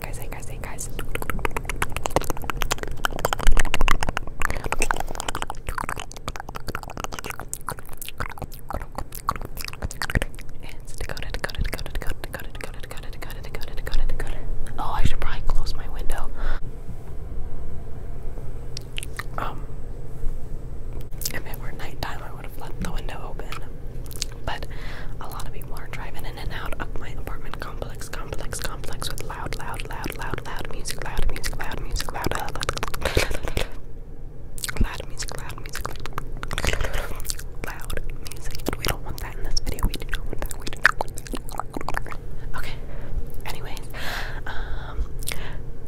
guys, guys, guys. Oh, I should probably close my window. Um, if it were nighttime, I would have left the window open. But a lot of people are driving in and out of my apartment complex complex, complex, complex with loud, loud, loud, loud, loud music, loud music, loud music, loud, loud, loud, loud music, loud music, loud music. We don't want that in this video. We do not want that. We do not want that. Okay. Anyways, um,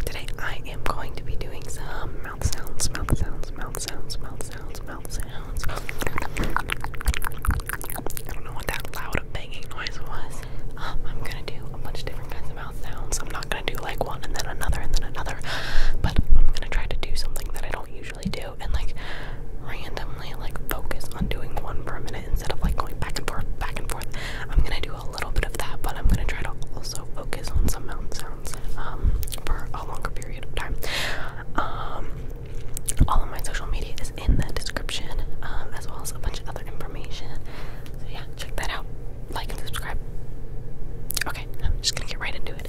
today I am going to be doing some mouth sounds, mouth sounds, mouth sounds, mouth sounds, I don't know what that loud banging noise was. Um, I'm gonna do a bunch of different kinds of mouth sounds. I'm not gonna do like one and then another and then another, but I'm gonna try to do something that I don't usually do and like randomly like focus on doing one per minute instead of like going back and forth, back and forth. I'm gonna do a little bit of that, but I'm gonna try to also focus on some mouth sounds um, for a longer period of time. Um, all of my social media is in the description, um, as well as a bunch of other information. So, yeah, check that out. Like and subscribe. Okay, I'm just gonna get right into it.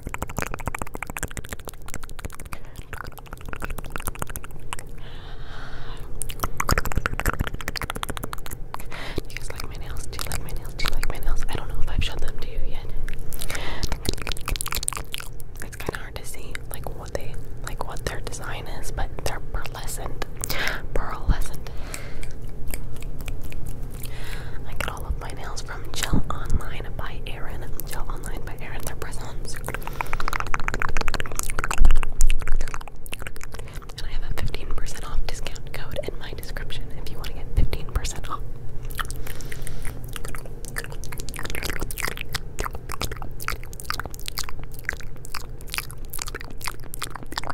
Do you guys like my nails? Do you like my nails? Do you like my nails? I don't know if I've showed them to you yet. It's kind of hard to see like what they like what their design is, but they're pearlescent. Pearlescent all of my nails from Gel Online by Erin. Gel Online by Erin. They're press And I have a 15% off discount code in my description if you want to get 15% off.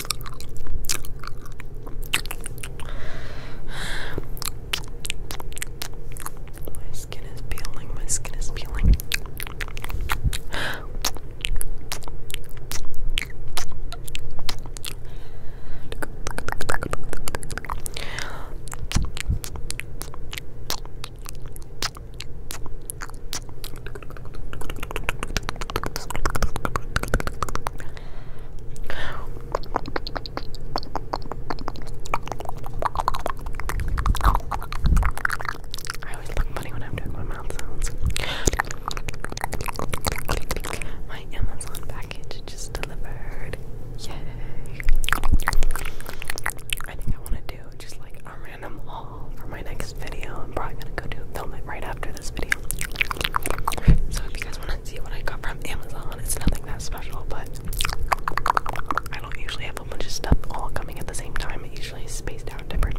My skin is peeling, my skin is peeling. I always look funny when I'm doing my mouth sounds. My Amazon package just delivered. Yay! I think I want to do just like a random haul for my next video. I'm probably gonna go do film it right after this video. So if you guys want to see what I got from Amazon, it's nothing that special, but I don't usually have a bunch stuff all coming at the same time. usually spaced out different.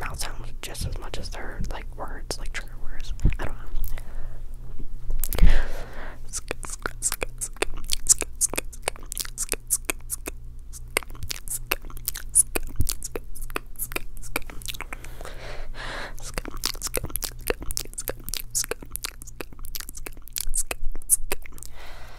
mouth sounds just as much as their like words, like trigger words. I don't know.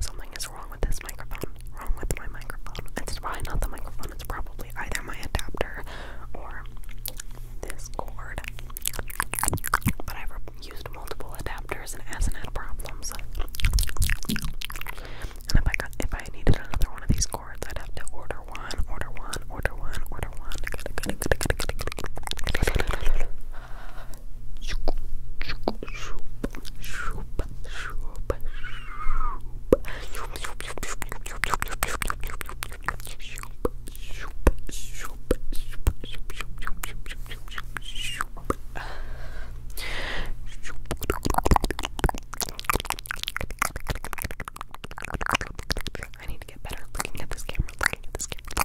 Something is wrong with this microphone. Wrong with my microphone. It's probably not the microphone, it's probably either my adapter or this cord. But I've used multiple adapters and hasn't had problems. And if I if I needed another one of these cords, I'd have to order one, order one, order one, order one. I need to get better looking at this camera, looking at this camera.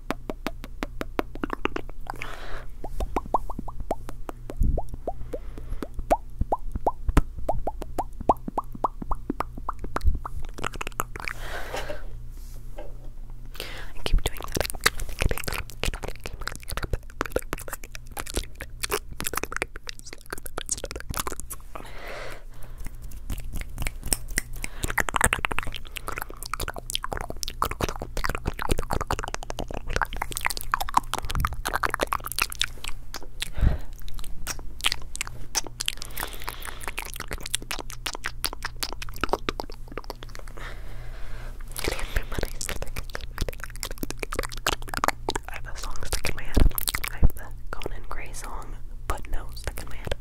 I keep doing that. I have a song stuck in my head. I have the Conan Gray song, but no, second in